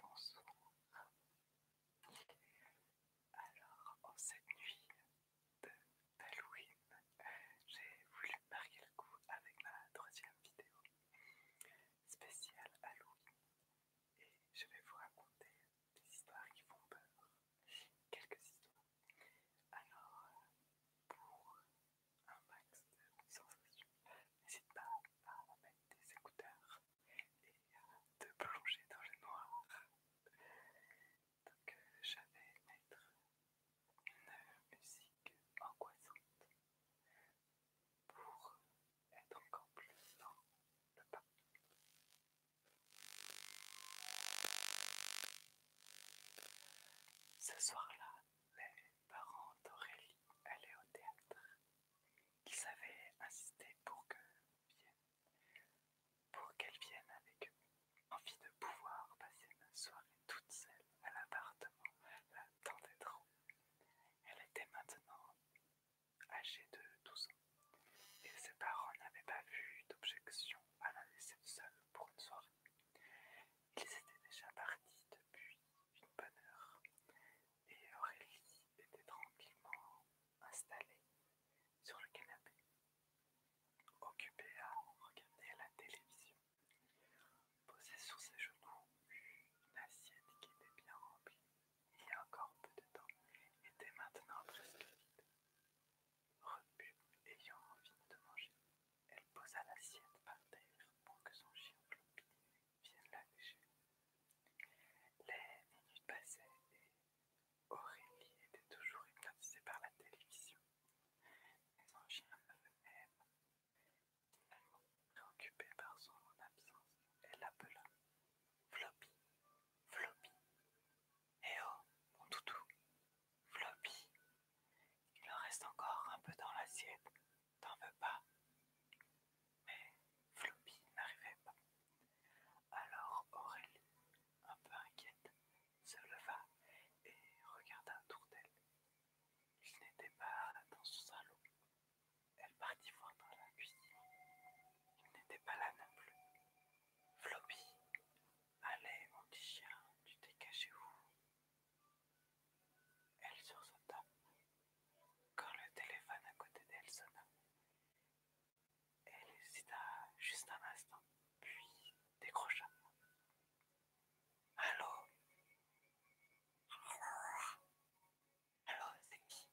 Bonsoir. Alors, en cette nuit d'Halloween, j'ai voulu marquer le coup avec ma troisième vidéo spéciale Halloween et je vais vous raconter des histoires qui font peur. Quelques histoires. Alors, pour un max de sensations. N'hésite pas à mettre des écouteurs et à te plonger dans le noir. Donc euh, j'avais mettre une musique angoissante pour être encore plus dans le pas. Ce soir-là, les parents d'Aurélie allaient au théâtre. Ils avaient insisté pour qu'elle vienne avec eux. Envie de pouvoir passer une soirée toute seule à l'appartement la trop. Elle était maintenant âgée de 12 ans et ses parents n'avaient pas vu d'objection à la laisser seule pour une soirée. Ils étaient déjà partis depuis une bonne heure, et Aurélie était tranquillement installée sur le canapé, occupée à regarder la télévision. Posée sur ses genoux, une assiette qui était bien remplie il y a encore peu de temps était maintenant presque vide. Repu ayant envie de manger, elle posa l'assiette par terre pour que son chien Floppy vienne la Les minutes passaient et Aurélie était toujours hypnotisée par la télévision. Mais son chien ne préoccupée par son absence, elle l'appela :« Floppy, Floppy. Eh oh, mon toutou, Floppy. Il en reste encore un peu dans l'assiette. T'en veux pas Mais Floppy n'arrivait pas. Alors Aurélie, un peu inquiète, se leva et regarda autour d'elle. Il n'était pas dans son salon. Elle partit voir dans la cuisine. Il n'était pas là non plus. Floppy, allez mon petit chien, tu t'es caché où elle sursauta quand le téléphone à côté d'elle sonna. Elle hésita juste un instant, puis décrocha. Allô Allô, c'est qui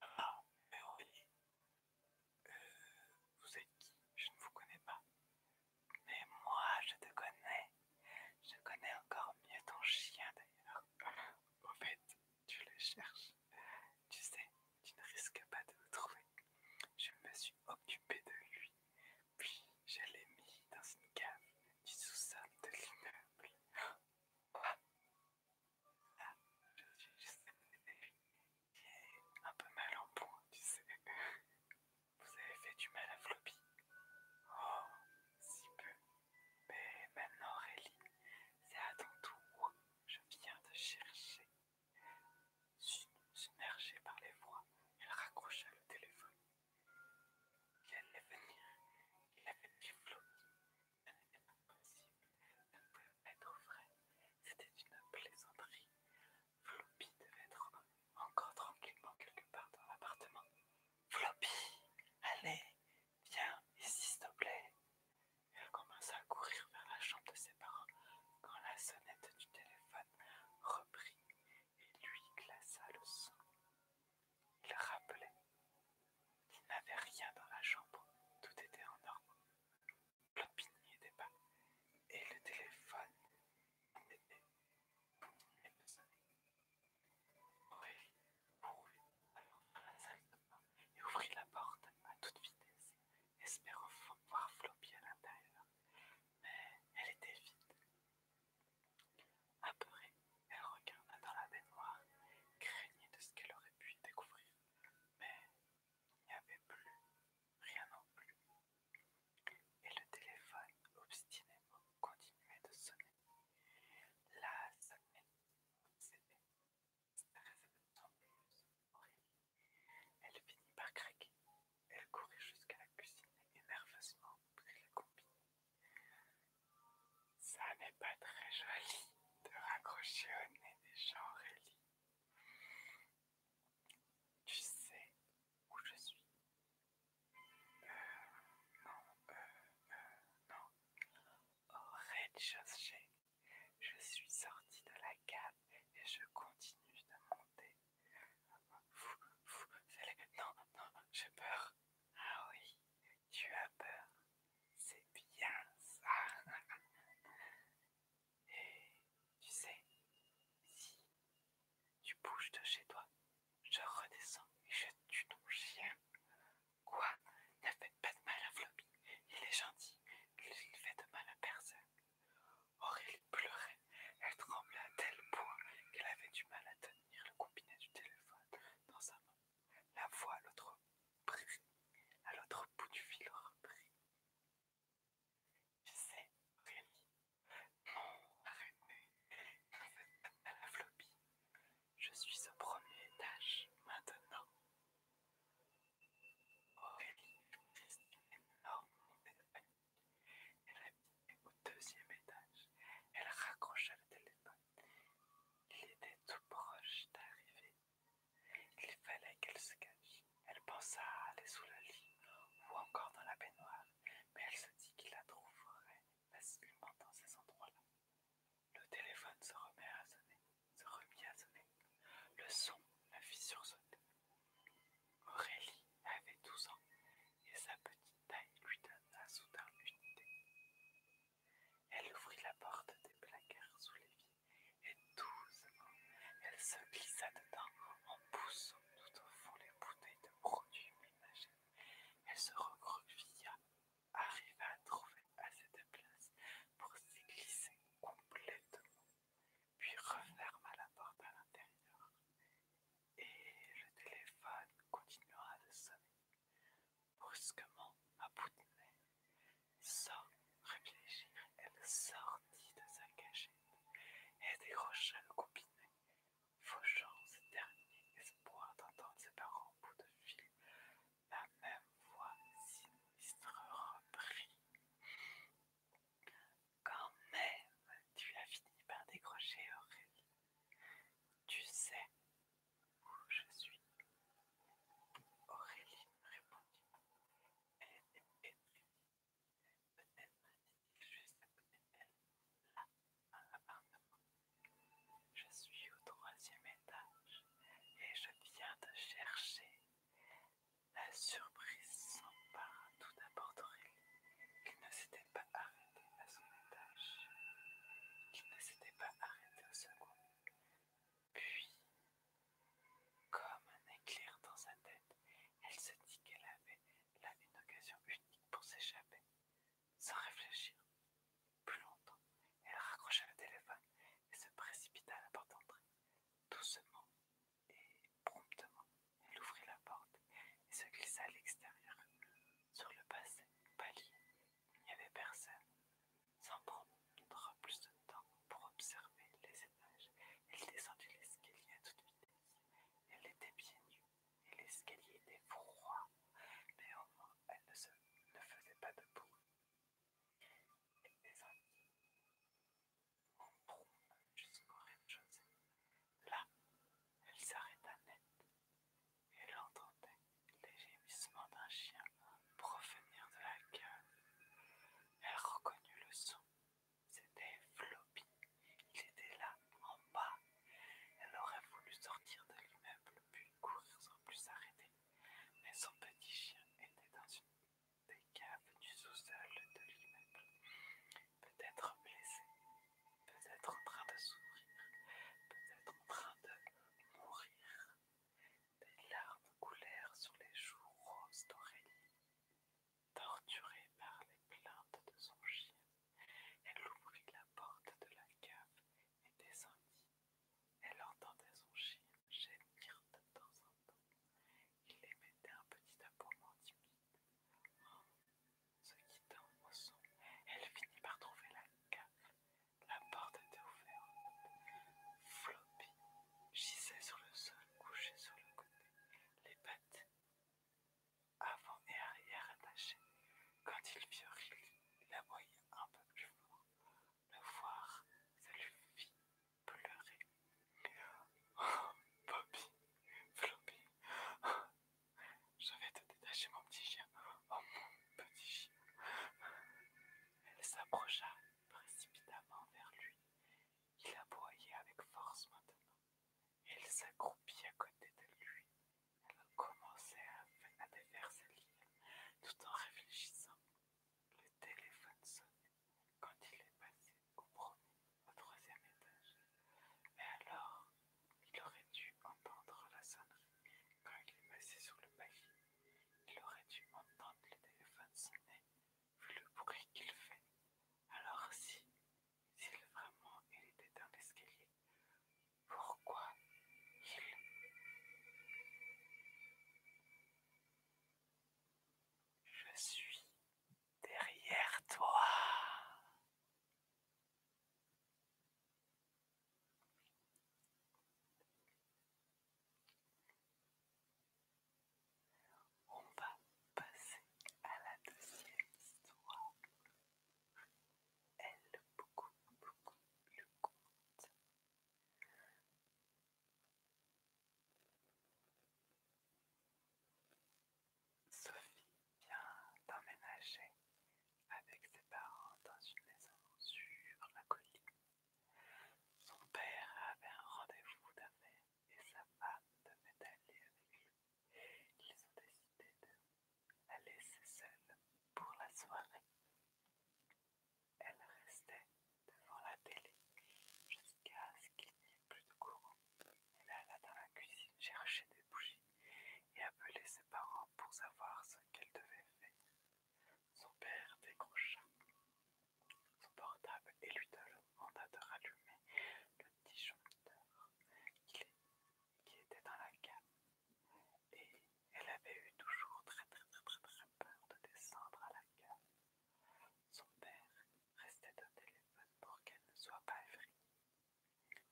Ah, mais oui. Euh, vous êtes qui Je ne vous connais pas. Mais moi, je te connais. Je connais encore mieux ton chien d'ailleurs. Au fait, tu le cherches. Tu sais, tu ne risques pas de le trouver. Je me suis occupée de lui. Puis, je l'ai mis dans une cave du sous-sol de l'immeuble. Ah, je suis juste... est un peu mal en point, tu sais. Vous avez fait du mal à Floppy. Oh, si peu. Mais maintenant, Aurélie, c'est à ton tour. Je viens te chercher. Submergée par les voix, elle raccrocha le téléphone. Il allait venir. Il avait dit Floppy. Elle n'était pas possible. ne pouvait être vrai. C'était une plaisanterie. Floppy devait être encore tranquillement quelque part dans l'appartement. Floppy, allez, viens ici s'il te plaît. Elle commença à courir vers la chambre de ses parents quand la sonnette du téléphone reprit et lui glaça le son. Il rappelait qu'il n'avait rien dans la chambre, tout était en ordre. Clampini était et le téléphone était de sonnait. Aurélie alors dans la salle de bain et ouvrit la porte à toute vitesse, espérant voir Floppy à l'intérieur, mais elle était vide. Apeurée, elle regarda dans la baignoire, craignée de ce qu'elle aurait pu découvrir, mais il n'y avait plus rien non plus, et le téléphone obstinément continuait de sonner. La sonnette s'est stressait plus Elle finit par craquer. Elle courait jusqu'à la cuisine et nerveusement prit la copine. Ça n'est pas très joli de raccrocher au nez des gens, Aurélie. Tu sais où je suis Euh, non, euh, euh non. Au oh, rez-de-chaussée, je suis sortie de la cave et je continue de monter. Fou, vous, Non, non, j'ai peur. Ah oui, tu as peur. C'est bien ça. Et tu sais, si tu bouges de chez toi, je redescends et je tue ton chien. Quoi Ne fais pas de mal à Floppy. Il est gentil. Il ne fait de mal à personne. Aurélie pleurait. Elle tremblait à tel point qu'elle avait du mal à tenir le combiné du téléphone dans sa main. La voix à l'autre à l'autre bout du fil reprit. « Je sais, Aurélie. Non, fait, à la floppy. Je suis au premier étage maintenant. Aurélie Non. une énorme Elle habitait au deuxième étage. Elle raccrocha le téléphone. Il était tout proche d'arriver. Il fallait qu'elle se cache. Elle pensa à aller sous la lit ou encore dans la baignoire, mais elle se dit qu'il la trouverait facilement dans ces endroits-là. Le téléphone se remet à sonner, se remit à sonner. Le son la fit sursauter. Aurélie avait 12 ans et sa petite taille lui donna soudain une idée. Elle ouvrit la porte des placards sous les vitres et doucement, Elle se glissa dedans en poussant tout au fond les bouteilles de produits ménagers. Elle se recroquevilla, arriva à trouver assez de place pour s'y glisser complètement, puis referma la porte à l'intérieur. Et le téléphone continuera de sonner. Brusquement, à bout de nez, sans réfléchir, elle sortit de sa cachette et décrocha le nez, fauchant ce dernier espoir d'entendre ses parents au bout de fil. La même voix sinistre reprit. Quand même, tu as fini par décrocher Aurélie. Tu sais où je suis. Aurélie répondit. Elle je suis au troisième étage et je viens de chercher. La surprise s'empara tout d'abord d'Aurélie, qui ne s'était pas arrêtée à son étage, qui ne s'était pas arrêté au second. Puis, comme un éclair dans sa tête, elle se dit qu'elle avait là une occasion unique pour s'échapper. Sans réfléchir plus longtemps, elle raccrocha le téléphone et se précipita à la porte d'entrée. Doucement et promptement, elle ouvrit la porte et se glissa à l'extérieur. Sur le passé, palier, il n'y avait personne. Sans prendre plus de temps pour observer les étages, elle descendit l'escalier tout toute vitesse. Elle était bien nue et l'escalier était froid. mais elle ne, se, ne faisait pas de bruit. Elle descendit en jusqu'au rez-de-chaussée. Là, elle s'arrêta net. Elle entendait les gémissements d'un chien provenir de la gueule. Elle reconnut le son. C'était Floppy. Il était là, en bas. Elle aurait voulu sortir de l'immeuble, puis courir sans plus s'arrêter. Mais son petit chien était dans une des caves du sous-sol de l'immeuble. Peut-être blessé, peut-être en train de sourire. peut-être en train de mourir. Des larmes coulèrent sur les joues roses d'Aurélie. Torturée par les plaintes de son chien, elle ouvrit la porte de la cave et descendit. Elle entendait son chien gémir de temps en temps. Il émettait un petit aboiement timide. En oh, se quittant au son, elle finit par trouver la cave. La porte était ouverte. Floppy Gissait sur le sol, couché sur le côté, les pattes avant et arrière attachées. Quand il vit il la voyait un peu plus fort. Le voir, ça lui fit pleurer. Oh, Bobby, Floppy, je vais te détacher mon petit chien. Oh, mon petit chien. Elle s'approcha précipitamment vers lui. Il aboyait avec force maintenant, Elle elle s'accroupit à côté de lui. Elle commençait à, à défaire tout en réfléchissant. Le téléphone sonnait quand il est passé au premier, au troisième étage. Et alors, il aurait dû entendre la sonnerie quand il est passé sur le palier. Il aurait dû entendre le téléphone sonner vu le bruit qu'il fait. Alors si, s'il vraiment il était dans l'escalier, pourquoi il... Je suis derrière toi. On va passer à la deuxième histoire. Elle beaucoup, beaucoup plus courte. Sophie vient d'emménager avec ses parents dans une maison sur la colline. Son père avait un rendez-vous d'affaires et sa femme devait aller avec lui. Ils ont décidé de la laisser seule pour la soirée. Elle restait devant la télé jusqu'à ce qu'il n'y ait plus de courant. Elle alla dans la cuisine chercher des bougies et appeler ses parents pour savoir ce qu'elle devait faire. Son père décrocha son portable et lui demanda de rallumer le disjoncteur qui était dans la cave. Et elle avait eu toujours très très très très très peur de descendre à la cave. Son père restait au téléphone pour qu'elle ne soit pas effrayée.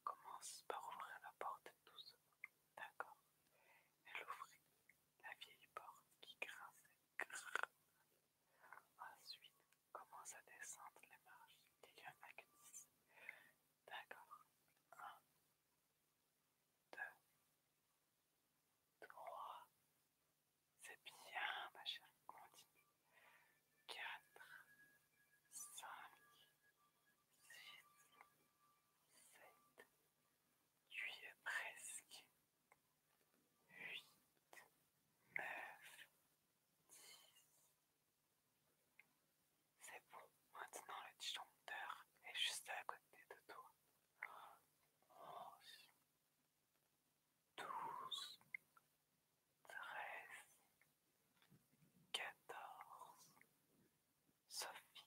Commence par ouvrir la porte doucement. D'accord. Elle ouvrit la vieille porte qui grinçait grince ensuite commence à descendre les marches et il d'accord 1 2 3 c'est bien ma chère continue 4 5 6 7 tu y es presque. 8, 9, 10. C'est bon, maintenant le disjoncteur est juste à côté de toi. 11, 12, 13, 14. Sophie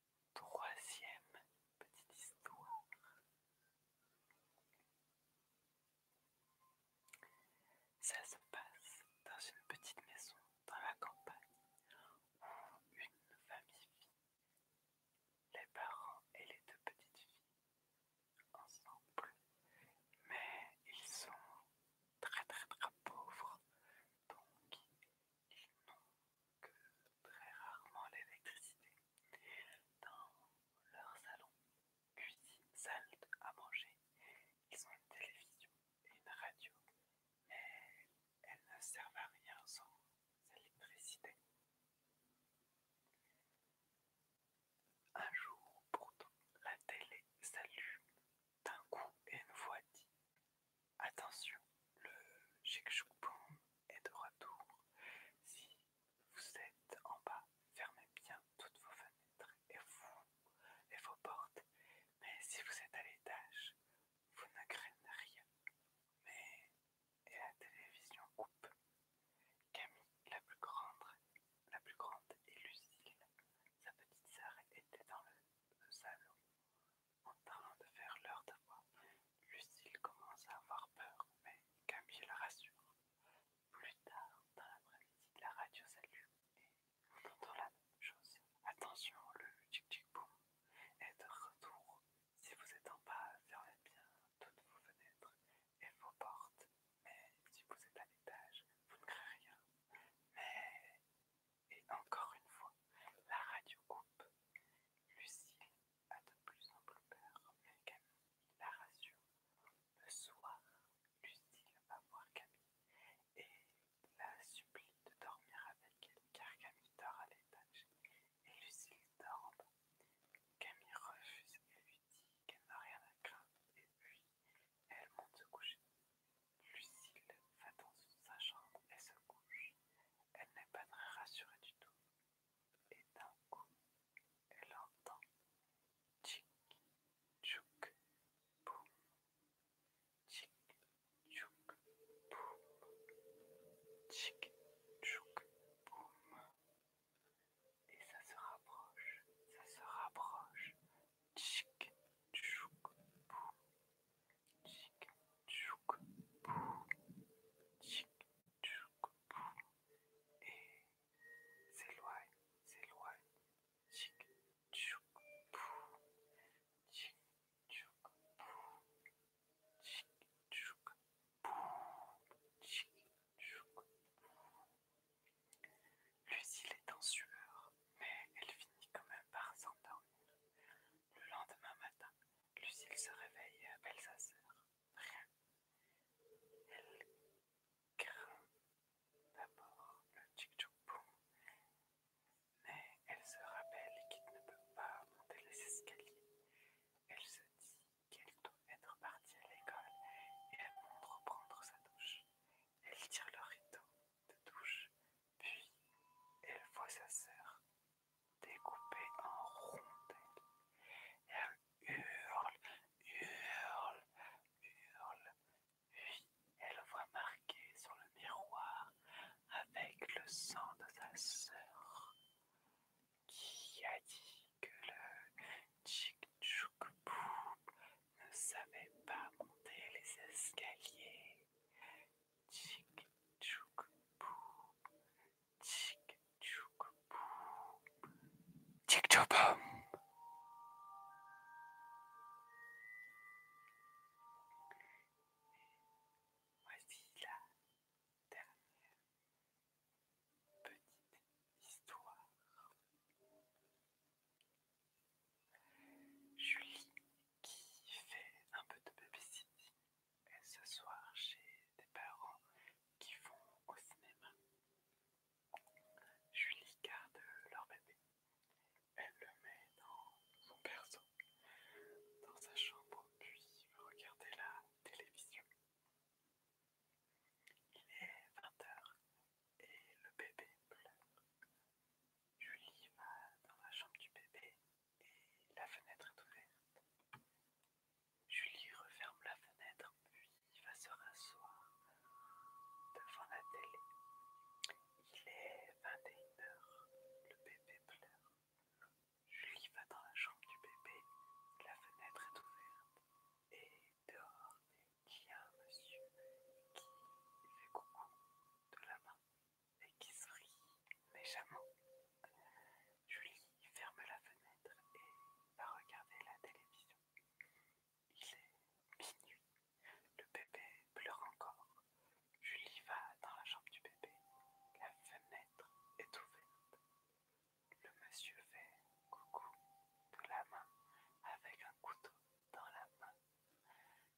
Troisième petite histoire. Ça se passe dans une petite maison dans la campagne où une famille vit. Les parents et les deux petites filles ensemble. Mais ils sont très très très pauvres. Donc ils n'ont que très rarement l'électricité dans leur salon, cuisine, salle à manger. Ils ont une télévision et une radio, mais elles ne servent à rien sans l'électricité. Un jour, pourtant, la télé s'allume d'un coup et une voix dit Attention, le Shekshukbon est de retour. Si vous êtes en bas, fermez bien toutes vos fenêtres et, vos portes. Mais si vous êtes à l'étage, vous ne craignez rien. Mais et la télévision coupe. Camille, la plus grande, la plus grande et Lucile, sa petite sœur, était dans le salon. En parlant de faire l'heure d'avoir, Lucille commence à avoir peur, mais Camille la rassure. Plus tard, dans l'après-midi, la radio s'allume et on entend la même chose. Attention, le tic-tic-boum est de retour. Si vous êtes en bas, fermez bien toutes vos fenêtres et vos portes. Mais si vous êtes à l'étage, vous ne créez rien. Mais et encore une fois, la radio coupe. Lucille a de plus plus peur, mais Camille la rassure. Le soir, Lucille va voir Camille et la supplie de dormir avec elle, car Camille dort à l'étage. Et Lucille dort Camille refuse et lui dit qu'elle n'a rien à craindre, et puis elle monte se coucher. Lucille va dans sa chambre et se couche. Elle n'est pas très rassurée du tout. Et d'un coup, elle entend tchik, tchouk, boum, Tchik, tchouk, boum, Tchik, tchouk, boum. Et ça se rapproche, ça se rapproche, Tchik, tchouk, boum. Tchik tchouk pou, tchik tchouk pou, et s'éloigne, s'éloigne, tchik tchouk pou, tchik tchouk pou, tchik tchouk pou, chik tchouk pou. Lucille est en sueur, mais elle finit quand même par s'endormir. Le lendemain matin, Lucille se réveille et appelle sa sœur. Rien. Elle craint d'abord le tchik tchouk mais elle se rappelle qu'il ne peut pas monter les escaliers. Elle se dit qu'elle doit être partie à l'école et elle montre reprendre sa douche. Elle tire le rideau de touche, puis elle voit sa sœur découpée en rondelles. Elle hurle, hurle, hurle, puis elle voit marqué sur le miroir avec le sang de sa sœur qui a dit que le tchik tchouk pou ne savait pas monter les escaliers. Tchik tchouk boum. Tchik tchouk boum. Tchik tchouk boum. Voici la dernière petite histoire. Julie, qui fait un peu de babysitting, sitting ce soir chez des parents qui vont au cinéma. Julie garde leur bébé. Elle le met dans son berceau, dans sa chambre, puis regarder la télévision. Il est 20h et le bébé pleure. Julie va dans la chambre du bébé et la fenêtre est ouverte. Julie referme la fenêtre puis va se rasseoir devant la télé. Il est 21h, le bébé pleure. Julie va dans la chambre du bébé, la fenêtre est ouverte et dehors il y a un monsieur qui fait coucou de la main et qui sourit méchamment. Julie ferme la fenêtre et va regarder la télévision. Il est minuit. Le bébé pleure encore. Julie va dans la chambre du bébé. La fenêtre est ouverte. Le monsieur fait coucou de la main avec un couteau dans la main.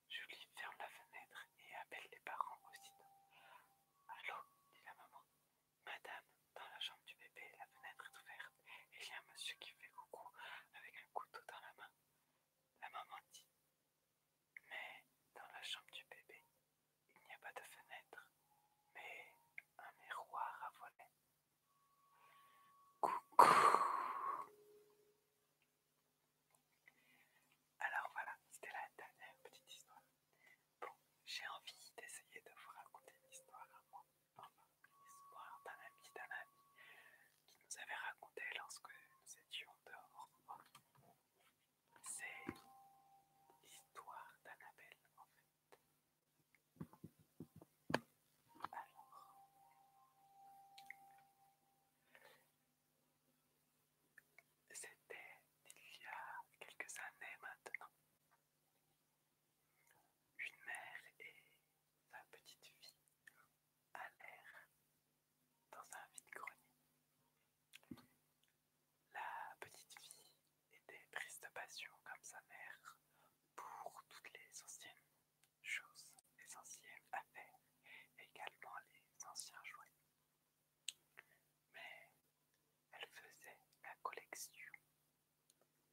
Julie ferme la fenêtre et appelle les parents aussitôt. Allô, dit la maman. Madame, dans la chambre du bébé, la fenêtre est ouverte et il y a un monsieur qui fait coucou avec un couteau dans la main. La maman dit Mais dans la chambre du bébé, il n'y a pas de fenêtre, mais un miroir à volet. Coucou alors voilà, c'était la dernière petite histoire. Bon, j'ai envie d'essayer de vous raconter une histoire à moi, histoire d'un ami, d'un ami qui nous avait raconté lorsque nous étions dehors. C'est l'histoire d'Annabelle en fait. Alors, c'était il y a quelques années maintenant. Une mère et sa petite fille allèrent dans un vide-grenier. La petite fille était prise de passion comme sa mère pour toutes les anciennes chose essentielle à faire, également les anciens jouets. Mais elle faisait la collection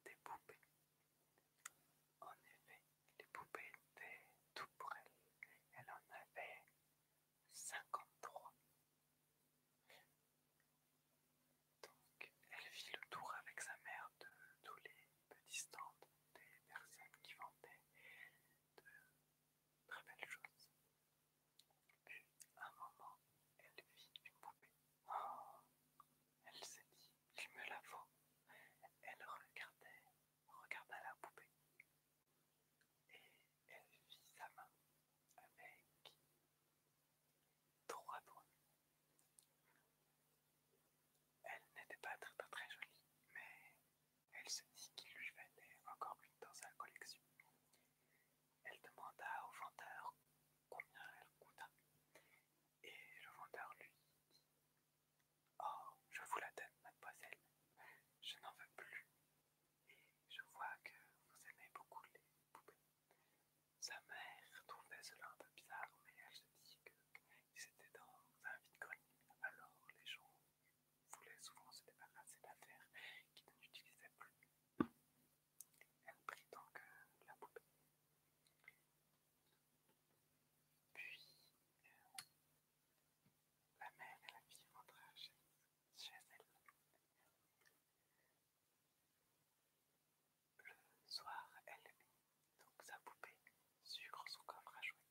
des poupées. En effet, les poupées étaient tout pour elle. Elle en avait 53. Donc, elle fit le tour avec sa mère de tous les peu distante des personnes qui vendaient de très belles choses. Puis, à un moment, elle vit une poupée. Oh, elle s'est dit, je me la faut. Elle regardait, regarda la poupée. Et elle vit sa main avec trois doigts. Elle n'était pas très, très jolie, mais elle se dit qu'il lui fallait encore une dans sa collection. Elle demanda au vendeur combien elle coûtait, et le vendeur lui dit Oh, je vous la donne, mademoiselle, je n'en veux plus, et je vois que vous aimez beaucoup les poupées. Sa mère trouvait cela un peu bizarre, mais elle se dit que c'était dans un vide-grenier, alors les gens voulaient souvent se débarrasser d'affaires qu'ils n'utilisaient plus. Elle prit donc euh, la poupée. Puis euh, la mère et la fille rentrent chez, elle. Le soir, elle donc sa poupée sucre son coffre à jouer.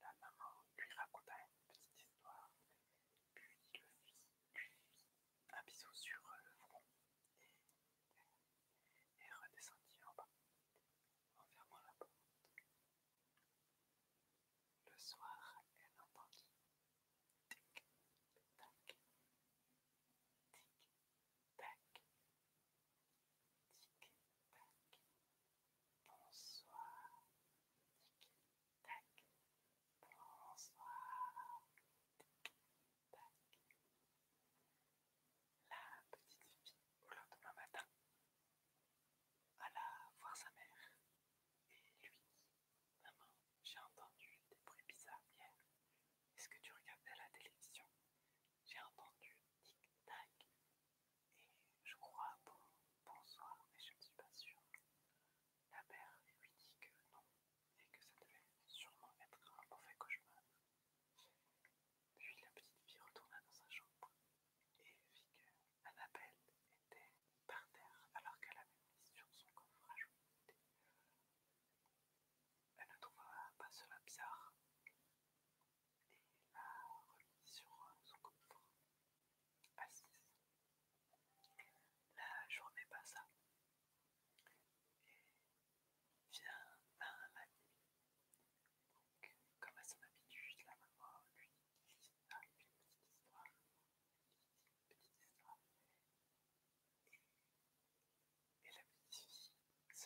La maman lui raconta une petite histoire, puis le lui fit un bisou sur le front et, redescendit en bas, en fermant la porte. Le soir, elle entendit tac, tic, tac, bonsoir, tic, tac, bonsoir, tic, tac. La petite fille au lendemain matin alla voir sa mère et lui dit Maman, j'ai entendu des bruits bizarres hier. Est-ce que tu regardais la télévision j'ai entendu tic-tac et je crois bon, bonsoir, mais je ne suis pas sûre. La mère lui dit que non et que ça devait sûrement être un mauvais cauchemar. Puis la petite fille retourna dans sa chambre et vit que Annabelle était par terre alors qu'elle avait mis sur son coffre à elle ne trouva pas cela bizarre et la remet sur son coffre, assise. La journée passa et vient la nuit. comme à son habitude, la maman lui dit une ah, Une petite histoire. Et la petite fille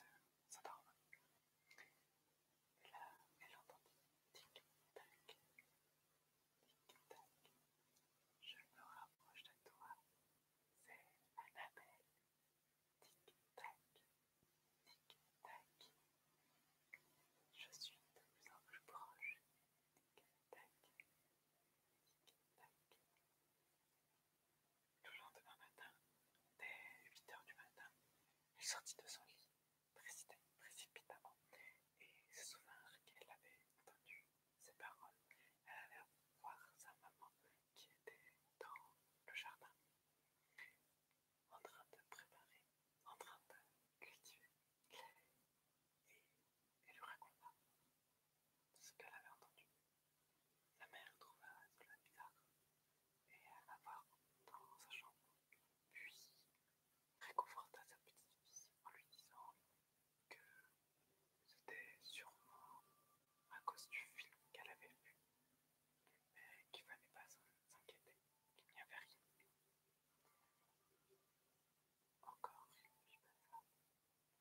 s'endormit. Et là, elle entendit tic-tac, tic-tac. Je me rapproche de toi, c'est Annabelle. Tic-tac, tic-tac. Je suis de plus en plus proche. Tic-tac, tic-tac. Le lendemain matin, dès huit heures du matin, elle sortit de son lit précipitamment et se souvint qu'elle avait entendu ses paroles. Elle allait voir sa maman qui était dans le jardin, en train de préparer, en train de cultiver. Et elle lui raconta ce qu'elle avait entendu. La mère trouva cela bizarre et la voir dans sa chambre, puis réconforta sa petite fille en lui disant que c'était sûrement à cause du film qu'elle avait vu, mais qu'il ne fallait pas s'inquiéter, qu'il n'y avait rien. Encore une fois,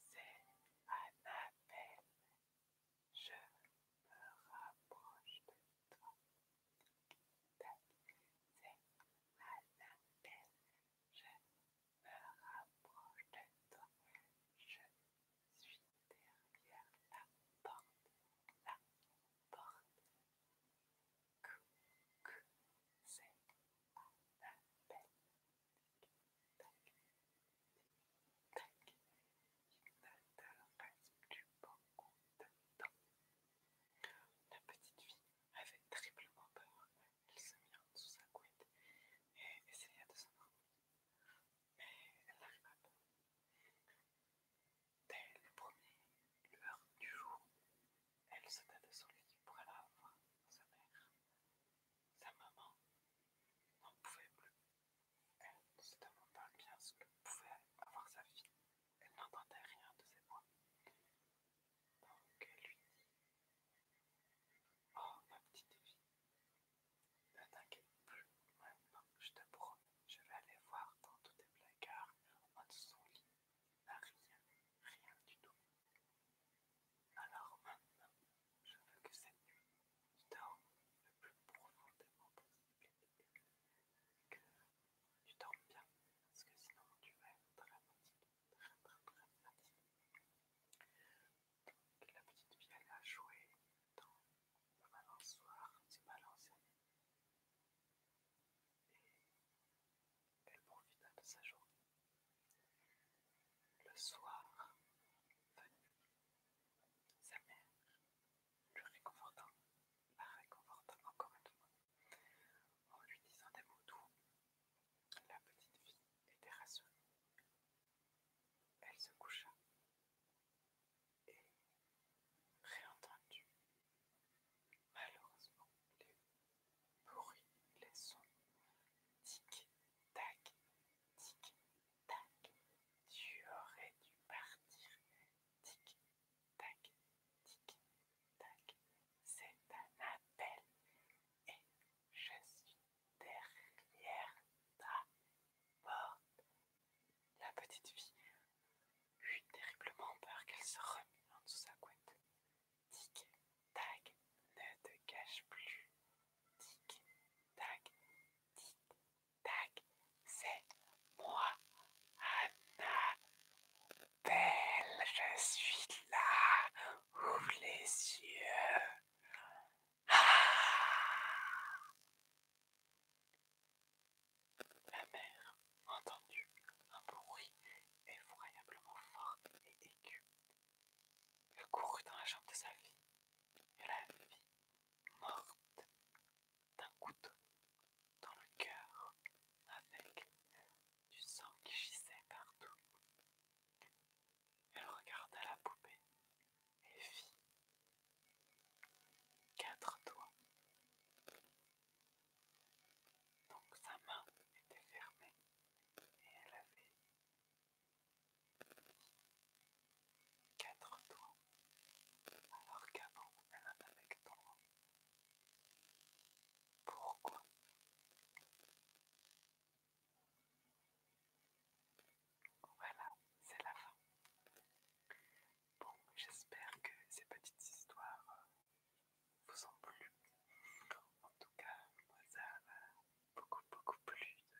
C'est un appel. Je me rapproche de toi. C'est un appel. Je me rapproche de toi. Je suis derrière la porte. La porte. Coucou. C'est un appel. La petite fille avait triplement peur. Elle se mit en sa couette et essaya de s'endormir. Mais elle n'arriva pas. Dès les première lueur du jour, elle sauta de son lit pour aller voir sa mère. Sa maman n'en pouvait plus. Elle se demanda bien ce que pouvait avoir sa fille. Elle n'entendait rien de ses voix. Donc elle lui dit Oh, ma petite fille, ne t'inquiète plus maintenant, je te promets, je vais aller voir dans tous tes placards, en dessous son lit. Rien, rien du tout. Alors maintenant, je veux que cette nuit, tu dormes le plus profondément possible que tu dormes bien, parce que sinon tu vas être très fatigué, très très très fatigué. Donc la petite fille, elle a joué dans le balançoire du balancier. Et elle profita de sa journée. Le soir venu, sa mère lui réconfortant, la réconfortant encore une fois, en lui disant des mots doux. La petite fille était rassurée. Elle se coucha et, réentendue, malheureusement, bruit, les sons. Tic-tac, tic-tac, tu aurais dû partir. Tic-tac, tic-tac, c'est un appel et je suis derrière ta porte. La petite fille eut terriblement peur qu'elle se remue en dessous sa couette. Tic-tac, ne te cache plus. Tic-tac, tic-tac, c'est moi, Anna, belle, Je suis là. Ouvre les yeux. Ah! Ma La mère entendu un bruit effroyablement fort et aigu elle courut dans la chambre de sa fille et la vit morte d'un couteau dans le cœur avec du sang qui gisait partout. Elle regarda la poupée et vit quatre doigts donc sa main était fermée et elle avait quatre doigts, alors qu'avant elle avait quatre Pourquoi Voilà, c'est la fin. Bon, j'espère que ces petites histoires euh, vous en plu. En tout cas, moi ça m'a beaucoup beaucoup plu de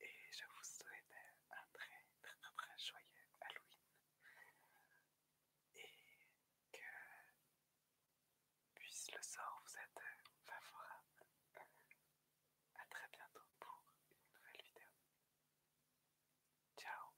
Et je vous souhaite un très très très, joyeux Halloween. Et que puisse le sort vous être favorable. A très bientôt pour une nouvelle vidéo. Ciao